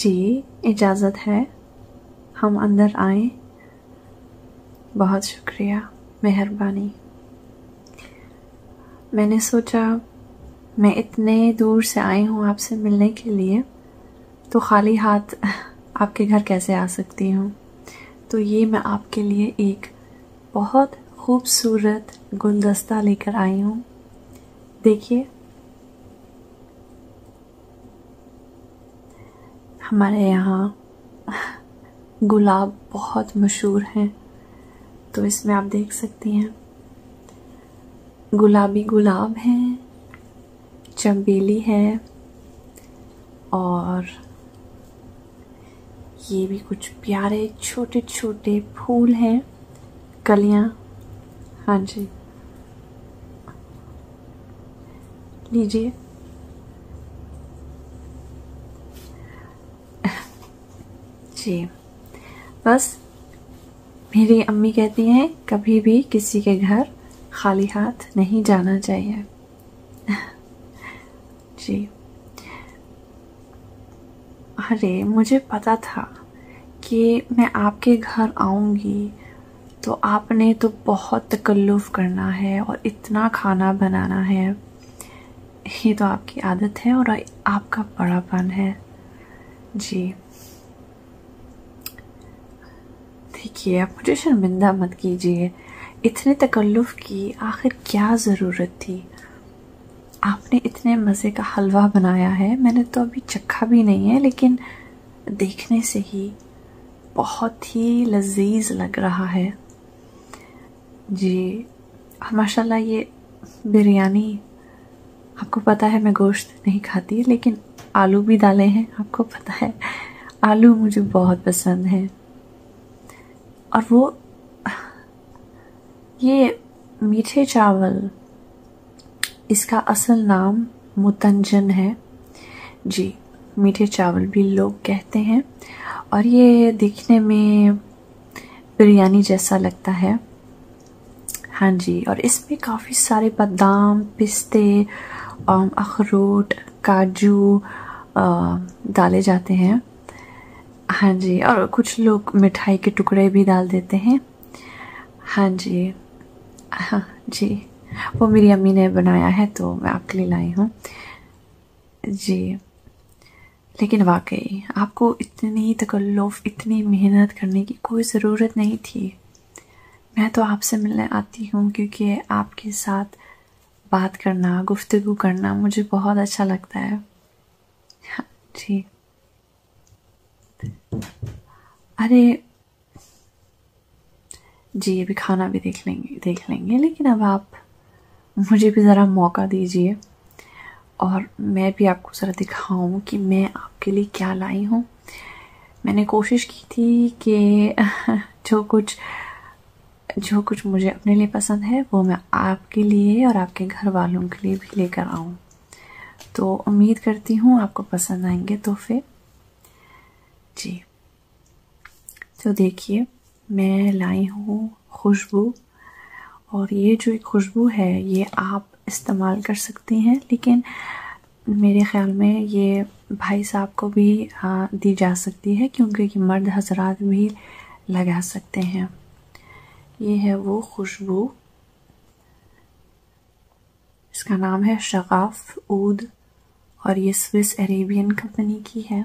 जी इजाज़त है हम अंदर आए बहुत शुक्रिया मेहरबानी मैंने सोचा मैं इतने दूर से आई हूँ आपसे मिलने के लिए तो खाली हाथ आपके घर कैसे आ सकती हूँ तो ये मैं आपके लिए एक बहुत खूबसूरत गुलदस्ता लेकर आई हूँ देखिए हमारे यहाँ गुलाब बहुत मशहूर हैं तो इसमें आप देख सकती हैं गुलाबी गुलाब है चमेली है और ये भी कुछ प्यारे छोटे छोटे फूल हैं कलियां हाँ जी लीजिए जी बस मेरी अम्मी कहती हैं कभी भी किसी के घर खाली हाथ नहीं जाना चाहिए जी अरे मुझे पता था कि मैं आपके घर आऊँगी तो आपने तो बहुत तकल्लुफ़ करना है और इतना खाना बनाना है ये तो आपकी आदत है और आपका बड़ापन है जी देखिए आप मुझे शर्मिंदा मत कीजिए इतने तकल्लुफ़ की आखिर क्या ज़रूरत थी आपने इतने मज़े का हलवा बनाया है मैंने तो अभी चखा भी नहीं है लेकिन देखने से ही बहुत ही लजीज लग रहा है जी माशाल्लाह ये बिरयानी आपको पता है मैं गोश्त नहीं खाती लेकिन आलू भी डाले हैं आपको पता है आलू मुझे बहुत पसंद है और वो ये मीठे चावल इसका असल नाम मुतंजन है जी मीठे चावल भी लोग कहते हैं और ये देखने में बिरयानी जैसा लगता है हाँ जी और इसमें काफ़ी सारे बादाम पिस्ते अखरोट काजू डाले जाते हैं हाँ जी और कुछ लोग मिठाई के टुकड़े भी डाल देते हैं हाँ जी हाँ जी वो मेरी अम्मी ने बनाया है तो मैं आपके लिए लाई हूँ जी लेकिन वाकई आपको इतनी तकल्लुफ़ इतनी मेहनत करने की कोई ज़रूरत नहीं थी मैं तो आपसे मिलने आती हूँ क्योंकि आपके साथ बात करना गुफ्तगु करना मुझे बहुत अच्छा लगता है हाँ जी अरे जी अभी खाना भी देख लेंगे देख लेंगे लेकिन अब आप मुझे भी ज़रा मौका दीजिए और मैं भी आपको ज़रा दिखाऊं कि मैं आपके लिए क्या लाई हूँ मैंने कोशिश की थी कि जो कुछ जो कुछ मुझे अपने लिए पसंद है वो मैं आपके लिए और आपके घर वालों के लिए भी लेकर आऊँ तो उम्मीद करती हूँ आपको पसंद आएंगे तोहफे जी तो देखिए मैं लाई हूँ खुशबू और ये जो एक खुशबू है ये आप इस्तेमाल कर सकती हैं लेकिन मेरे ख़्याल में ये भाई साहब को भी हाँ दी जा सकती है क्योंकि ये मर्द हजरात भी लगा सकते हैं ये है वो खुशबू इसका नाम है शगाफ ऊद और ये स्विस अरेबियन कंपनी की है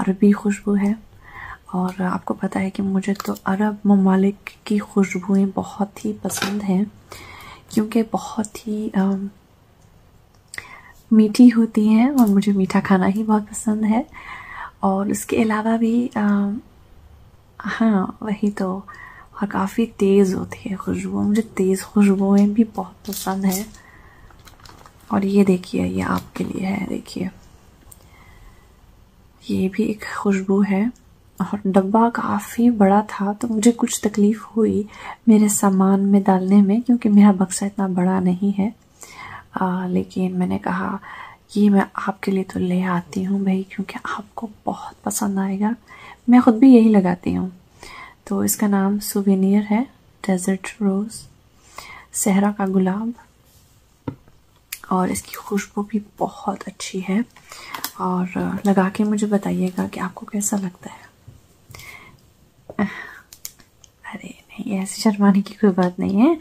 अरबी खुशबू है और आपको पता है कि मुझे तो अरब ममालिक की खुशबुएँ बहुत ही पसंद हैं क्योंकि बहुत ही आ, मीठी होती हैं और मुझे मीठा खाना ही बहुत पसंद है और इसके अलावा भी आ, हाँ वही तो और काफ़ी तेज़ होती है खुशबू मुझे तेज़ खुशबुएं भी बहुत पसंद है और ये देखिए ये आपके लिए है देखिए ये भी एक खुशबू है और डब्बा काफ़ी बड़ा था तो मुझे कुछ तकलीफ़ हुई मेरे सामान में डालने में क्योंकि मेरा बक्सा इतना बड़ा नहीं है आ, लेकिन मैंने कहा ये मैं आपके लिए तो ले आती हूँ भाई क्योंकि आपको बहुत पसंद आएगा मैं ख़ुद भी यही लगाती हूँ तो इसका नाम सुवेनियर है डेजर्ट रोज़ सहरा का गुलाब और इसकी खुशबू भी बहुत अच्छी है और लगा के मुझे बताइएगा कि आपको कैसा लगता है अरे नहीं ऐसी शर्माने की कोई बात नहीं है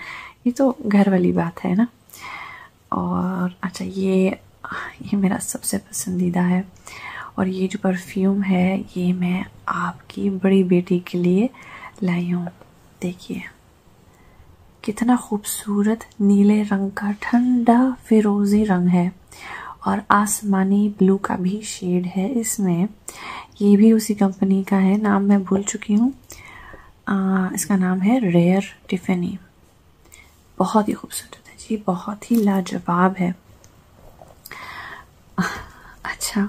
ये तो घर वाली बात है ना और अच्छा ये ये मेरा सबसे पसंदीदा है और ये जो परफ्यूम है ये मैं आपकी बड़ी बेटी के लिए लाई हूँ देखिए कितना खूबसूरत नीले रंग का ठंडा फिरोजी रंग है और आसमानी ब्लू का भी शेड है इसमें ये भी उसी कंपनी का है नाम मैं भूल चुकी हूँ आ, इसका नाम है रेयर टिफिनी बहुत ही खूबसूरत है जी बहुत ही लाजवाब है अच्छा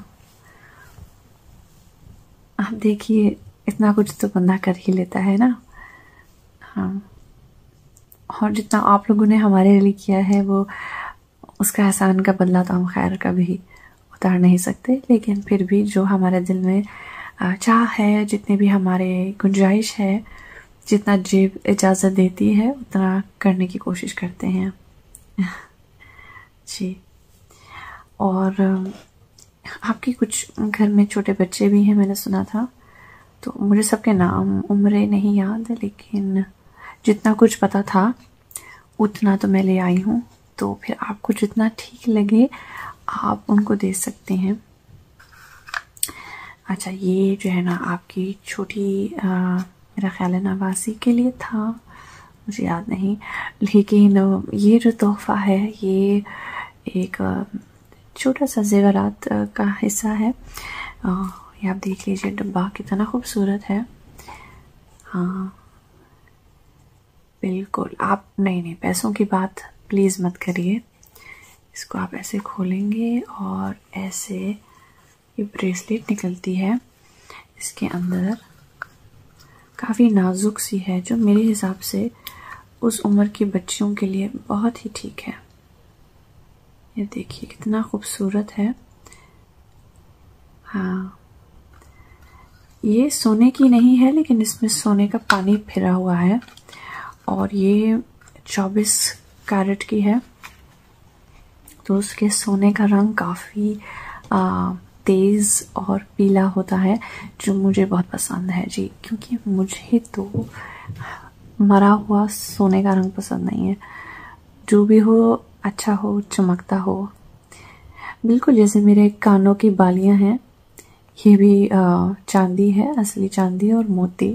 आप देखिए इतना कुछ तो बंदा कर ही लेता है ना हाँ और जितना आप लोगों ने हमारे लिए किया है वो उसका एहसान का बदला तो हम खैर कभी उतार नहीं सकते लेकिन फिर भी जो हमारे दिल में चाह है जितने भी हमारे गुंजाइश है जितना जेब इजाज़त देती है उतना करने की कोशिश करते हैं जी और आपकी कुछ घर में छोटे बच्चे भी हैं मैंने सुना था तो मुझे सबके नाम उम्र नहीं याद लेकिन जितना कुछ पता था उतना तो मैं ले आई हूँ तो फिर आपको जितना ठीक लगे आप उनको दे सकते हैं अच्छा ये जो है ना आपकी छोटी मेरा ख्याल है नवासी के लिए था मुझे याद नहीं लेकिन ये जो तोहफ़ा है ये एक छोटा सा जेवरात का हिस्सा है ये आप देख लीजिए डब्बा कितना खूबसूरत है हाँ बिल्कुल आप नहीं नहीं पैसों की बात प्लीज़ मत करिए इसको आप ऐसे खोलेंगे और ऐसे ये ब्रेसलेट निकलती है इसके अंदर काफ़ी नाजुक सी है जो मेरे हिसाब से उस उम्र की बच्चियों के लिए बहुत ही ठीक है ये देखिए कितना खूबसूरत है हाँ ये सोने की नहीं है लेकिन इसमें सोने का पानी फिरा हुआ है और ये 24 कैरेट की है तो उसके सोने का रंग काफ़ी तेज़ और पीला होता है जो मुझे बहुत पसंद है जी क्योंकि मुझे तो मरा हुआ सोने का रंग पसंद नहीं है जो भी हो अच्छा हो चमकता हो बिल्कुल जैसे मेरे कानों की बालियां हैं ये भी चांदी है असली चांदी और मोती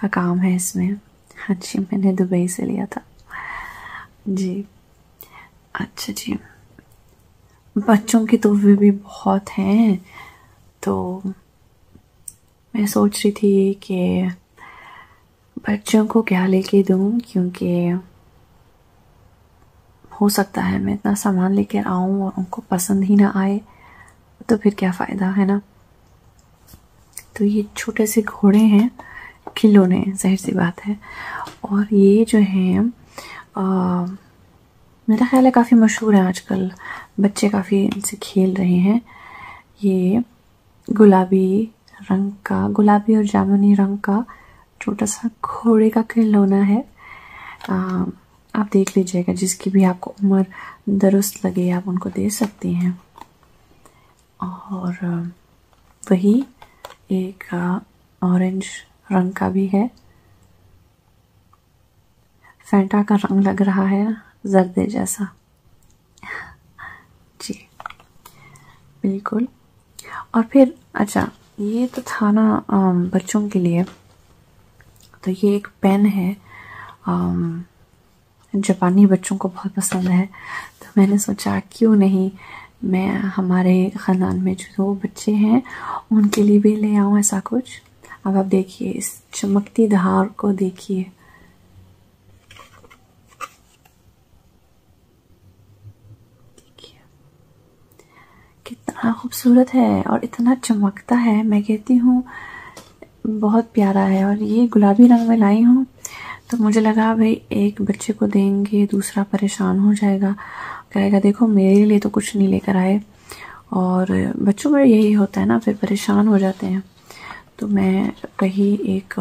का काम है इसमें अच्छी हाँ मैंने दुबई से लिया था जी अच्छा जी बच्चों के तोहफे भी बहुत हैं तो मैं सोच रही थी कि बच्चों को क्या लेके दूँ क्योंकि हो सकता है मैं इतना सामान लेकर आऊँ और उनको पसंद ही ना आए तो फिर क्या फ़ायदा है ना तो ये छोटे से घोड़े हैं खिलौने जहर सी बात है और ये जो हैं मेरा ख्याल है काफ़ी मशहूर है आजकल बच्चे काफ़ी इनसे खेल रहे हैं ये गुलाबी रंग का गुलाबी और जामुनी रंग का छोटा सा घोड़े का खिलौना है आ, आप देख लीजिएगा जिसकी भी आपको उम्र दुरुस्त लगे आप उनको दे सकती हैं और वही एक ऑरेंज रंग का भी है फैंटा का रंग लग रहा है जर्दे जैसा जी बिल्कुल और फिर अच्छा ये तो था ना बच्चों के लिए तो ये एक पेन है जापानी बच्चों को बहुत पसंद है तो मैंने सोचा क्यों नहीं मैं हमारे ख़ानदान में जो दो बच्चे हैं उनके लिए भी ले आऊँ ऐसा कुछ अब आप देखिए इस चमकती धार को देखिए कितना खूबसूरत है और इतना चमकता है मैं कहती हूँ बहुत प्यारा है और ये गुलाबी रंग में लाई हूँ तो मुझे लगा भाई एक बच्चे को देंगे दूसरा परेशान हो जाएगा कहेगा देखो मेरे लिए तो कुछ नहीं लेकर आए और बच्चों में यही होता है ना फिर परेशान हो जाते हैं तो मैं कहीं एक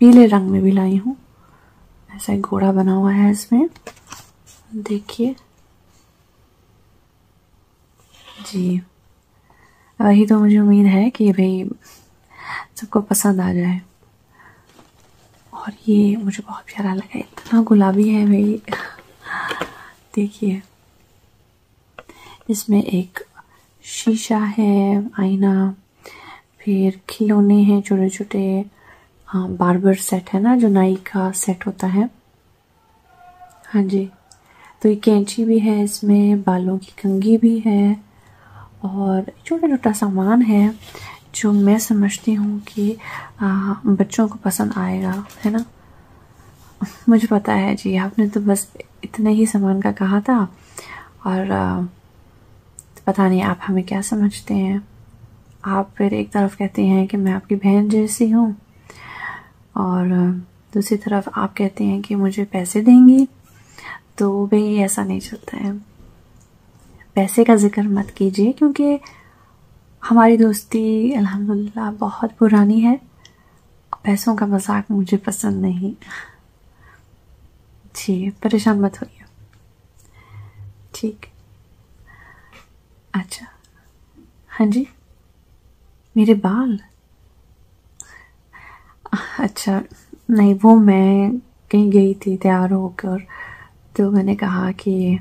पीले रंग में भी लाई हूँ ऐसा घोड़ा बना हुआ है इसमें देखिए जी वही तो मुझे उम्मीद है कि भाई सबको पसंद आ जाए और ये मुझे बहुत प्यारा लगा इतना गुलाबी है भाई देखिए इसमें एक शीशा है आईना फिर खिलौने हैं छोटे छोटे हाँ बार्बर सेट है ना जो नाई का सेट होता है हाँ जी तो ये कैंची भी है इसमें बालों की कंगी भी है और छोटा छोटा सामान है जो मैं समझती हूँ कि आ, बच्चों को पसंद आएगा है ना मुझे पता है जी आपने तो बस इतने ही सामान का कहा था और आ, पता नहीं आप हमें क्या समझते हैं आप फिर एक तरफ कहते हैं कि मैं आपकी बहन जैसी हूँ और दूसरी तरफ आप कहते हैं कि मुझे पैसे देंगी तो भाई ऐसा नहीं चलता है पैसे का ज़िक्र मत कीजिए क्योंकि हमारी दोस्ती अल्हम्दुलिल्लाह बहुत पुरानी है पैसों का मजाक मुझे पसंद नहीं जी परेशान मत होइए ठीक अच्छा हाँ जी मेरे बाल अच्छा नहीं वो मैं कहीं गई थी तैयार होकर तो मैंने कहा कि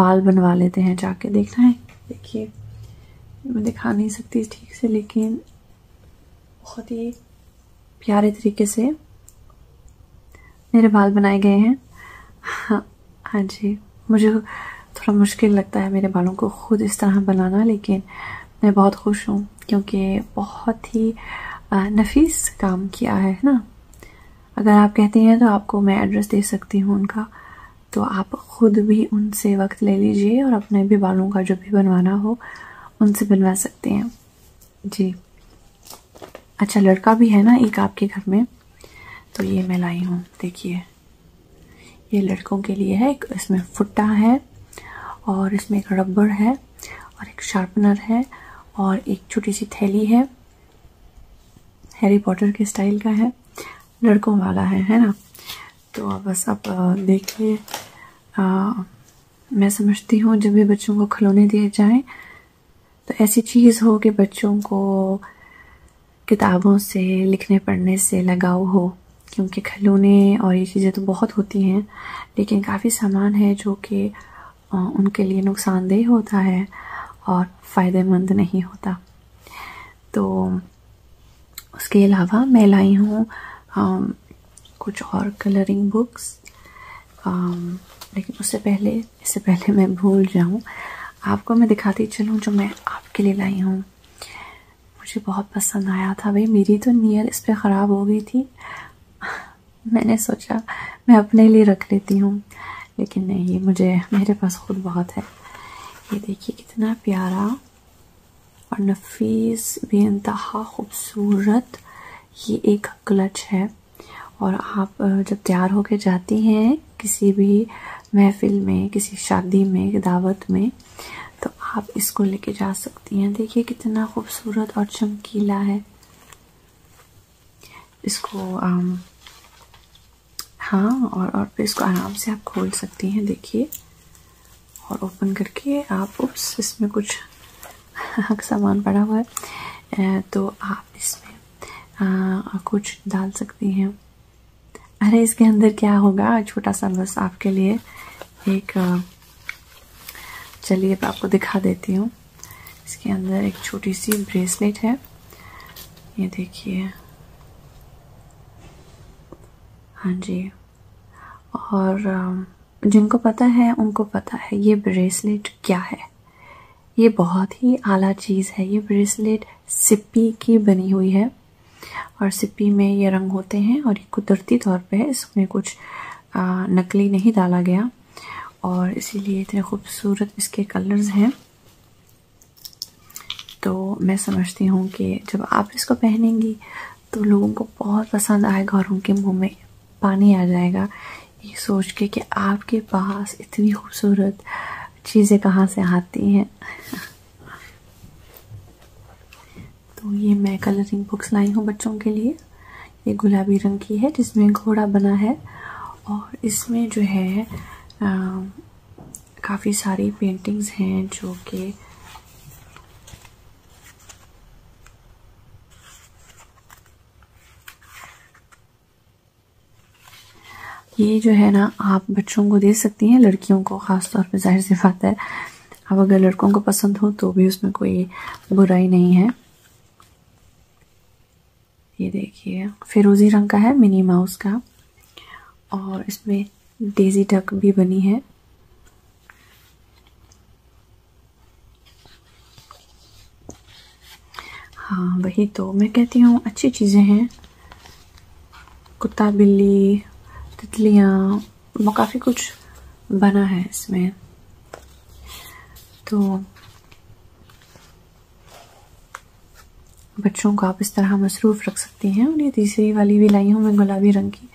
बाल बनवा लेते हैं जाके देखना है देखिए मैं दिखा नहीं सकती ठीक से लेकिन बहुत ही प्यारे तरीके से मेरे बाल बनाए गए हैं हाँ हाँ जी मुझे थोड़ा मुश्किल लगता है मेरे बालों को खुद इस तरह बनाना लेकिन मैं बहुत खुश हूँ क्योंकि बहुत ही नफीस काम किया है ना अगर आप कहते हैं तो आपको मैं एड्रेस दे सकती हूँ उनका तो आप खुद भी उनसे वक्त ले लीजिए और अपने भी बालों का जो भी बनवाना हो उनसे बनवा सकते हैं जी अच्छा लड़का भी है ना एक आपके घर में तो ये मैं लाई हूँ देखिए ये लड़कों के लिए है एक इसमें फुट्टा है और इसमें एक रबड़ है और एक शार्पनर है और एक छोटी सी थैली है हैरी पॉटर के स्टाइल का है लड़कों वाला है है ना तो बस आप देखिए मैं समझती हूँ जब भी बच्चों को खिलौने दिए जाएं तो ऐसी चीज़ हो कि बच्चों को किताबों से लिखने पढ़ने से लगाव हो क्योंकि खिलौने और ये चीज़ें तो बहुत होती हैं लेकिन काफ़ी सामान है जो कि उनके लिए नुकसानदेह होता है और फ़ायदेमंद नहीं होता तो उसके अलावा मैं लाई हूँ कुछ और कलरिंग बुक्स um, लेकिन उससे पहले इससे पहले मैं भूल जाऊँ आपको मैं दिखाती चलूँ जो मैं आपके लिए लाई हूँ मुझे बहुत पसंद आया था भाई मेरी तो नीयत इस पर ख़राब हो गई थी मैंने सोचा मैं अपने लिए रख लेती हूँ लेकिन नहीं ये मुझे मेरे पास खुद बहुत है ये देखिए कितना प्यारा और नफीस बेानतहा खूबसूरत ये एक क्लच है और आप जब तैयार होकर जाती हैं किसी भी महफिल में किसी शादी में दावत में तो आप इसको लेके जा सकती हैं देखिए कितना खूबसूरत और चमकीला है इसको आम, हाँ और और फिर इसको आराम से आप खोल सकती हैं देखिए और ओपन करके आप उप्स इसमें कुछ का सामान पड़ा हुआ है तो आप इसमें आ, कुछ डाल सकती हैं अरे इसके अंदर क्या होगा छोटा सा बस आपके लिए एक चलिए तो आपको दिखा देती हूँ इसके अंदर एक छोटी सी ब्रेसलेट है ये देखिए हाँ जी और जिनको पता है उनको पता है ये ब्रेसलेट क्या है ये बहुत ही आला चीज़ है ये ब्रेसलेट सिप्पी की बनी हुई है और सिप्पी में ये रंग होते हैं और ये कुदरती तौर पे है इसमें कुछ नकली नहीं डाला गया और इसीलिए इतने खूबसूरत इसके कलर्स हैं तो मैं समझती हूँ कि जब आप इसको पहनेंगी तो लोगों को बहुत पसंद आएगा और उनके मुंह में पानी आ जाएगा ये सोच के कि आपके पास इतनी खूबसूरत चीज़ें कहाँ से आती हैं तो ये मैं कलरिंग बुक्स लाई हूँ बच्चों के लिए ये गुलाबी रंग की है जिसमें घोड़ा बना है और इसमें जो है काफ़ी सारी पेंटिंग्स हैं जो कि ये जो है ना आप बच्चों को दे सकती हैं लड़कियों को ख़ास तौर पे जाहिर सी बात है अब अगर लड़कों को पसंद हो तो भी उसमें कोई बुराई नहीं है ये देखिए फिरोज़ी रंग का है मिनी माउस का और इसमें डेजी टक भी बनी है हाँ वही तो मैं कहती हूँ अच्छी चीज़ें हैं कुत्ता बिल्ली तितलियाँ वो काफ़ी कुछ बना है इसमें तो बच्चों को आप इस तरह मसरूफ़ रख सकती हैं और ये तीसरी वाली भी लाई हूँ मैं गुलाबी रंग की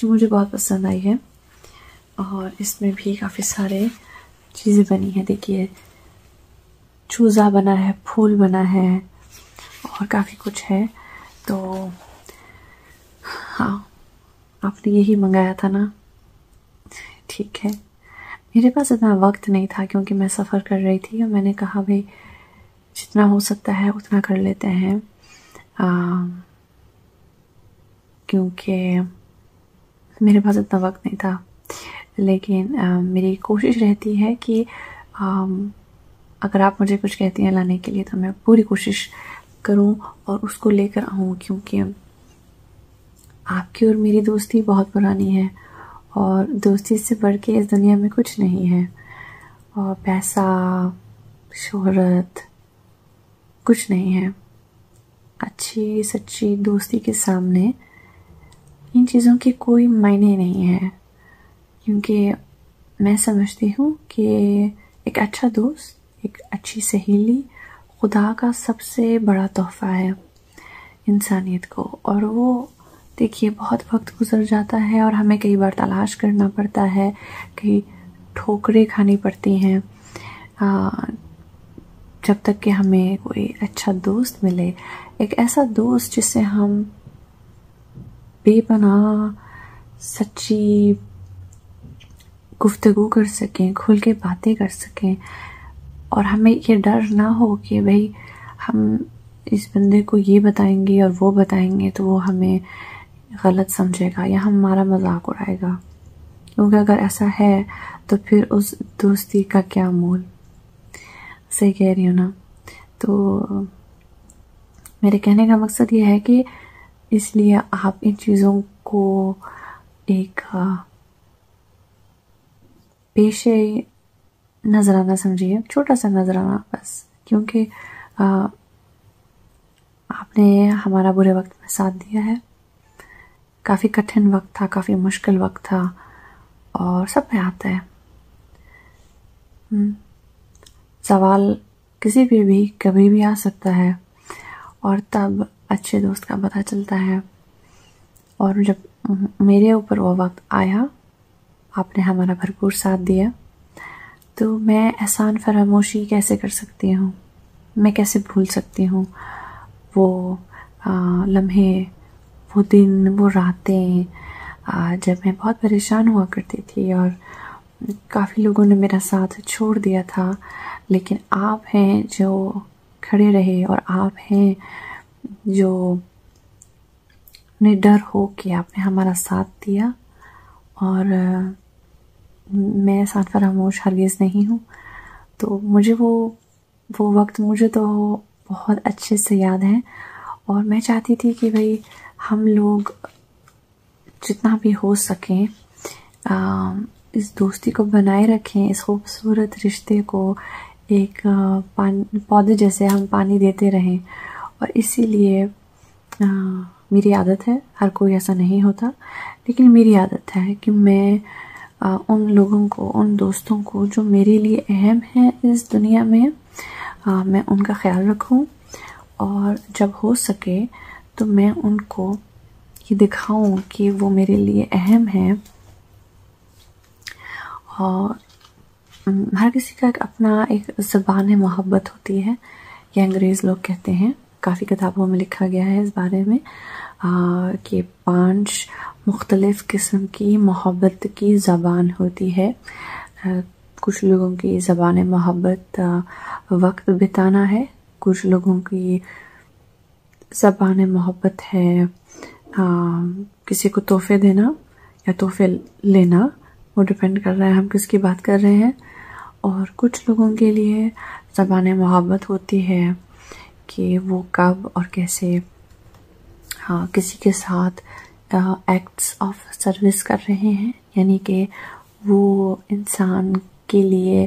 जो मुझे बहुत पसंद आई है और इसमें भी काफ़ी सारे चीज़ें बनी है देखिए चूज़ा बना है फूल बना है और काफ़ी कुछ है तो हाँ आपने यही मंगाया था ना ठीक है मेरे पास इतना वक्त नहीं था क्योंकि मैं सफ़र कर रही थी और मैंने कहा भाई जितना हो सकता है उतना कर लेते हैं आ, क्योंकि मेरे पास इतना वक्त नहीं था लेकिन आ, मेरी कोशिश रहती है कि आ, अगर आप मुझे कुछ कहती हैं लाने के लिए तो मैं पूरी कोशिश करूं और उसको लेकर आऊं क्योंकि आपकी और मेरी दोस्ती बहुत पुरानी है और दोस्ती से बढ़ के इस दुनिया में कुछ नहीं है और पैसा शोहरत कुछ नहीं है अच्छी सच्ची दोस्ती के सामने इन चीज़ों के कोई मायने नहीं है क्योंकि मैं समझती हूँ कि एक अच्छा दोस्त एक अच्छी सहेली खुदा का सबसे बड़ा तोहफा है इंसानियत को और वो देखिए बहुत वक्त गुजर जाता है और हमें कई बार तलाश करना पड़ता है कि ठोकरें खानी पड़ती हैं जब तक कि हमें कोई अच्छा दोस्त मिले एक ऐसा दोस्त जिससे हम बेपना सच्ची गुफ्तगु कर सकें खुल के बातें कर सकें और हमें ये डर ना हो कि भाई हम इस बंदे को ये बताएंगे और वो बताएंगे तो वो हमें गलत समझेगा या हमारा मजाक उड़ाएगा क्योंकि अगर ऐसा है तो फिर उस दोस्ती का क्या मोल सही कह रही हूँ ना तो मेरे कहने का मकसद ये है कि इसलिए आप इन चीज़ों को एक पेशे नजराना समझिए छोटा सा नजराना बस क्योंकि आपने हमारा बुरे वक्त में साथ दिया है काफ़ी कठिन वक्त था काफ़ी मुश्किल वक्त था और सब में आता है हम्म। सवाल किसी पे भी कभी भी आ सकता है और तब अच्छे दोस्त का पता चलता है और जब मेरे ऊपर वो वक्त आया आपने हमारा भरपूर साथ दिया तो मैं एहसान फरामोशी कैसे कर सकती हूँ मैं कैसे भूल सकती हूँ वो लम्हे वो दिन वो रातें जब मैं बहुत परेशान हुआ करती थी और काफ़ी लोगों ने मेरा साथ छोड़ दिया था लेकिन आप हैं जो खड़े रहे और आप हैं जो डर हो के आपने हमारा साथ दिया और मैं साथ फरामोश हरगिज़ नहीं हूँ तो मुझे वो वो वक्त मुझे तो बहुत अच्छे से याद है और मैं चाहती थी कि भाई हम लोग जितना भी हो सकें इस दोस्ती को बनाए रखें इस खूबसूरत रिश्ते को एक पौधे जैसे हम पानी देते रहें और इसीलिए आ, मेरी आदत है हर कोई ऐसा नहीं होता लेकिन मेरी आदत है कि मैं आ, उन लोगों को उन दोस्तों को जो मेरे लिए अहम हैं इस दुनिया में आ, मैं उनका ख्याल रखूं और जब हो सके तो मैं उनको ये दिखाऊं कि वो मेरे लिए अहम हैं और हर किसी का एक अपना एक ज़बान मोहब्बत होती है ये अंग्रेज़ लोग कहते हैं काफ़ी किताबों में लिखा गया है इस बारे में कि पांच मुख्तलिफ़ किस्म की मोहब्बत की ज़बान होती है आ, कुछ लोगों की ज़बान मोहब्बत वक्त बिताना है कुछ लोगों की ज़बान मोहब्बत है आ, किसी को तोहफे देना या तोहफे लेना वो डिपेंड कर रहा है हम किसकी बात कर रहे हैं और कुछ लोगों के लिए ज़बान मोहब्बत होती है कि वो कब और कैसे हाँ किसी के साथ एक्ट्स ऑफ सर्विस कर रहे हैं यानी कि वो इंसान के लिए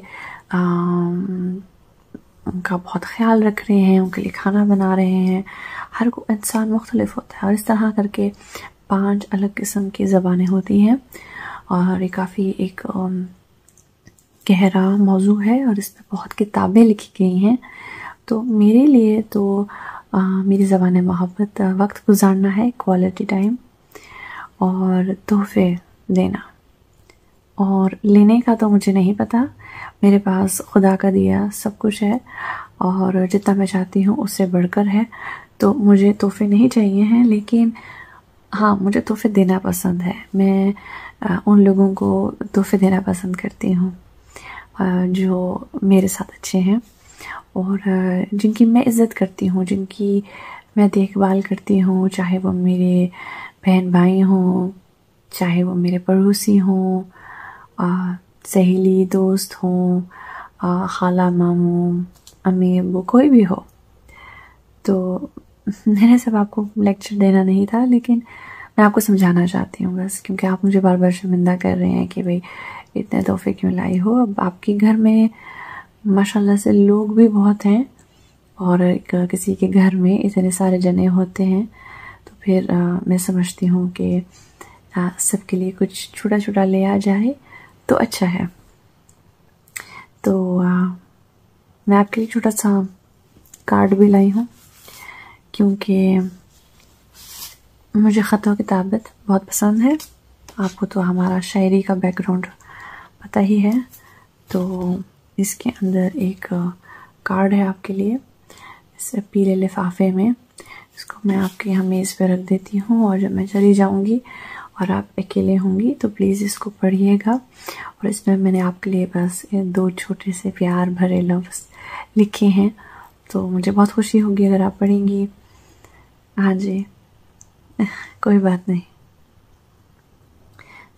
उनका बहुत ख्याल रख रहे हैं उनके लिए खाना बना रहे हैं हर को इंसान मुख्तलिफ होता है और इस तरह करके पांच अलग किस्म की ज़बानें होती हैं और ये काफ़ी एक गहरा मौजू है और इस पर बहुत किताबें लिखी गई हैं तो मेरे लिए तो आ, मेरी ज़बान मोहब्बत वक्त गुजारना है क्वालिटी टाइम और तोहफे देना और लेने का तो मुझे नहीं पता मेरे पास खुदा का दिया सब कुछ है और जितना मैं चाहती हूँ उससे बढ़कर है तो मुझे तोहफे नहीं चाहिए हैं लेकिन हाँ मुझे तोहफे देना पसंद है मैं आ, उन लोगों को तोहफे देना पसंद करती हूँ जो मेरे साथ अच्छे हैं और जिनकी मैं इज़्ज़त करती हूँ जिनकी मैं देखभाल करती हूँ चाहे वो मेरे बहन भाई हों चाहे वो मेरे पड़ोसी हों सहेली दोस्त हों खाला मामों अमीर वो कोई भी हो तो मैंने सब आपको लेक्चर देना नहीं था लेकिन मैं आपको समझाना चाहती हूँ बस क्योंकि आप मुझे बार बार शर्मिंदा कर रहे हैं कि भाई इतने तोहफे क्यों लाई हो अब आपके घर में माशाल्लाह से लोग भी बहुत हैं और किसी के घर में इतने सारे जने होते हैं तो फिर आ, मैं समझती हूँ कि सबके लिए कुछ छोटा छोटा ले आ जाए तो अच्छा है तो आ, मैं आपके लिए छोटा सा कार्ड भी लाई हूँ क्योंकि मुझे ख़तों की ताबत बहुत पसंद है आपको तो हमारा शायरी का बैकग्राउंड पता ही है तो इसके अंदर एक कार्ड है आपके लिए इस पीले लिफाफे में इसको मैं आपके यहाँ मेज़ पे रख देती हूँ और जब मैं चली जाऊँगी और आप अकेले होंगी तो प्लीज़ इसको पढ़िएगा और इसमें मैंने आपके लिए बस दो छोटे से प्यार भरे लफ्ज़ लिखे हैं तो मुझे बहुत खुशी होगी अगर आप पढ़ेंगी हाँ जी कोई बात नहीं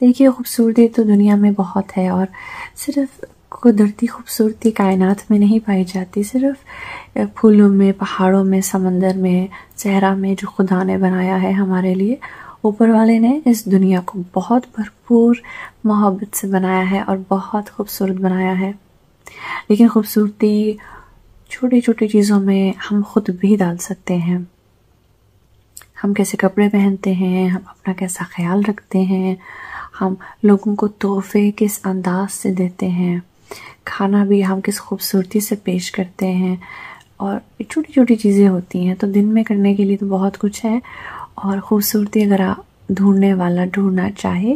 देखिए खूबसूरती तो दुनिया में बहुत है और सिर्फ कुदरती खूबसूरती कायनात में नहीं पाई जाती सिर्फ फूलों में पहाड़ों में समंदर में चेहरा में जो खुदा ने बनाया है हमारे लिए ऊपर वाले ने इस दुनिया को बहुत भरपूर मोहब्बत से बनाया है और बहुत खूबसूरत बनाया है लेकिन खूबसूरती छोटी छोटी चीज़ों में हम खुद भी डाल सकते हैं हम कैसे कपड़े पहनते हैं हम अपना कैसा ख्याल रखते हैं हम लोगों को तोहफे किस अंदाज से देते हैं खाना भी हम किस खूबसूरती से पेश करते हैं और छोटी छोटी चीज़ें होती हैं तो दिन में करने के लिए तो बहुत कुछ है और ख़ूबसूरती अगर आप ढूंढने वाला ढूंढना चाहे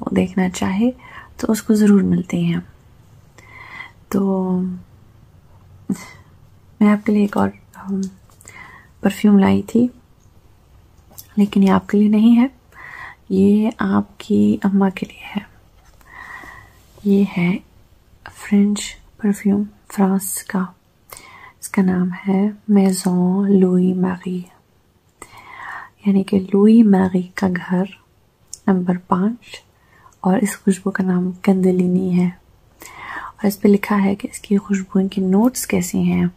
वो देखना चाहे तो उसको ज़रूर मिलती हैं तो मैं आपके लिए एक और परफ्यूम लाई थी लेकिन ये आपके लिए नहीं है ये आपकी अम्मा के लिए है ये है फ्रेंच परफ्यूम फ्रांस का इसका नाम है मेजों लुई मैगी यानी कि लुई मैगी का घर नंबर पाँच और इस खुशबू का नाम कंदलिनी है और इस पे लिखा है कि इसकी खुशबू की नोट्स कैसी हैं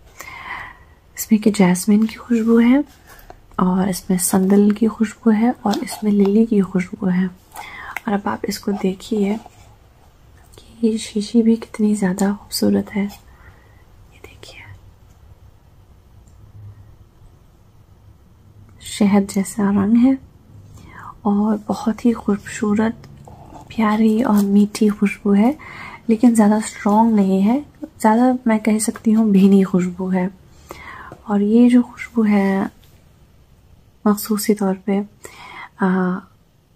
इसमें के जैस्मिन की खुशबू है और इसमें संदल की खुशबू है और इसमें लिली की खुशबू है और अब आप इसको देखिए कि ये शीशी भी कितनी ज़्यादा खूबसूरत है ये देखिए शहद जैसा रंग है और बहुत ही खूबसूरत प्यारी और मीठी खुशबू है लेकिन ज़्यादा स्ट्रॉन्ग नहीं है ज़्यादा मैं कह सकती हूँ भीनी खुशबू है और ये जो खुशबू है मखसूसी तौर पे आ,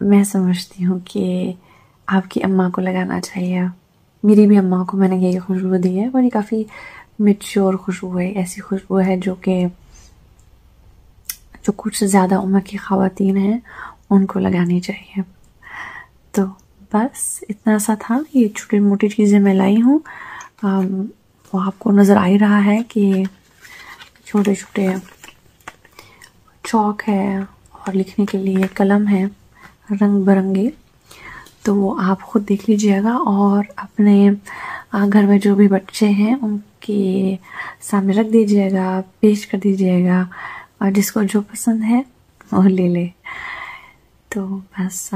मैं समझती हूँ कि आपकी अम्मा को लगाना चाहिए मेरी भी अम्मा को मैंने यही खुशबू दी है और ये काफ़ी मिच्योर खुशबू है ऐसी खुशबू है जो कि जो कुछ ज़्यादा उम्र की खातन हैं उनको लगानी चाहिए तो बस इतना सा था ये छोटी मोटी चीज़ें मैं लाई हूँ वो आपको नज़र आ ही रहा है कि छोटे छोटे चौक है और लिखने के लिए कलम है रंग बिरंगे तो आप ख़ुद देख लीजिएगा और अपने घर में जो भी बच्चे हैं उनके सामने रख दीजिएगा पेश कर दीजिएगा और जिसको जो पसंद है वो ले ले तो बस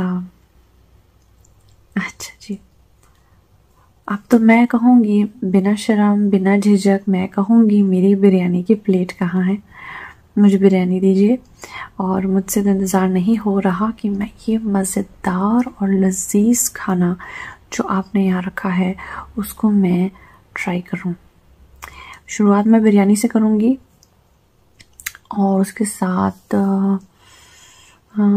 अच्छा जी अब तो मैं कहूँगी बिना शर्म बिना झिझक मैं कहूँगी मेरी बिरयानी की प्लेट कहाँ है मुझे बिरयानी दीजिए और मुझसे तो इंतज़ार नहीं हो रहा कि मैं ये मज़ेदार और लजीज खाना जो आपने यहाँ रखा है उसको मैं ट्राई करूँ शुरुआत मैं बिरयानी से करूँगी और उसके साथ आ, आ,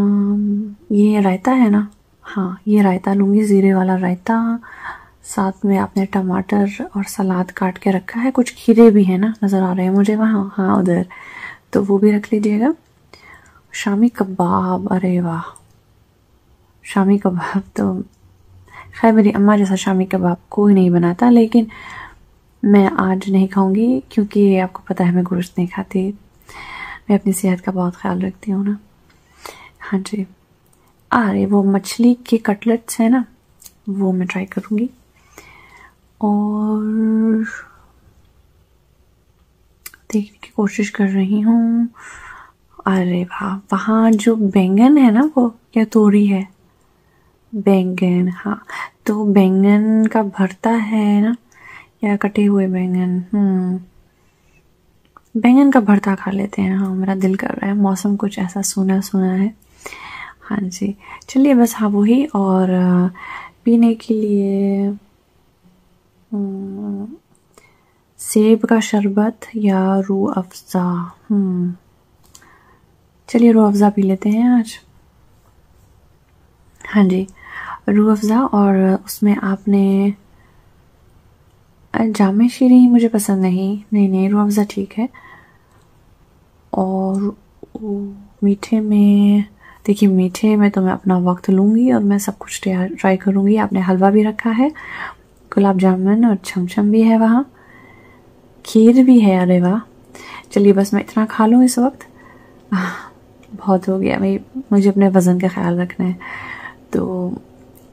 ये रायता है ना हाँ ये रायता लूँगी ज़ीरे वाला रायता साथ में आपने टमाटर और सलाद काट के रखा है कुछ खीरे भी हैं ना नज़र आ रहे हैं मुझे वहाँ हाँ उधर तो वो भी रख लीजिएगा शामी कबाब अरे वाह शामी कबाब तो खैर मेरी अम्मा जैसा शामी कबाब कोई नहीं बनाता लेकिन मैं आज नहीं खाऊंगी क्योंकि आपको पता है मैं गोश्त नहीं खाती मैं अपनी सेहत का बहुत ख्याल रखती हूँ ना हाँ जी अरे वो मछली के कटलेट्स हैं ना वो मैं ट्राई करूँगी और देखने की कोशिश कर रही हूँ अरे वाह वहाँ जो बैंगन है ना वो क्या तोरी है बैंगन हाँ तो बैंगन का भरता है ना या कटे हुए बैंगन हम्म बैंगन का भरता खा लेते हैं हाँ मेरा दिल कर रहा है मौसम कुछ ऐसा सोना सोना है हाँ जी चलिए बस हाँ वही और पीने के लिए हम्म, सेब का शरबत या रू अफ़ज़ा हम्म चलिए रूह अफ़ज़ा पी लेते हैं आज हाँ जी रूह अफ़ज़ा और उसमें आपने जाम शीरी मुझे पसंद नहीं नहीं नहीं रूह अफ़ज़ा ठीक है और मीठे में देखिए मीठे में तो मैं अपना वक्त लूँगी और मैं सब कुछ ट्राई करूँगी आपने हलवा भी रखा है गुलाब जामुन और छमछम भी है वहाँ खीर भी है अरे वाह चलिए बस मैं इतना खा लूँ इस वक्त बहुत हो गया भाई मुझे अपने वज़न का ख्याल रखना है तो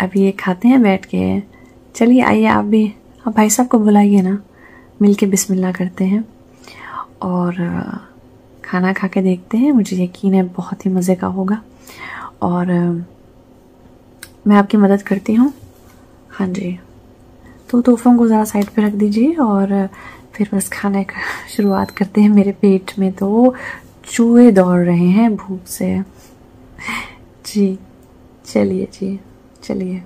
अब ये खाते हैं बैठ के चलिए आइए आप भी आप भाई साहब को बुलाइए ना मिल के बिसमिल्ला करते हैं और खाना खा के देखते हैं मुझे यकीन है बहुत ही मज़े का होगा और मैं आपकी मदद करती हूँ हाँ जी तो तोहफों को ज़रा साइड पे रख दीजिए और फिर बस खाने का शुरुआत करते हैं मेरे पेट में तो चूहे दौड़ रहे हैं भूख से जी चलिए जी चलिए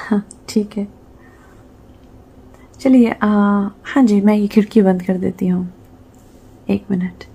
हाँ ठीक है चलिए हाँ जी मैं ये खिड़की बंद कर देती हूँ एक मिनट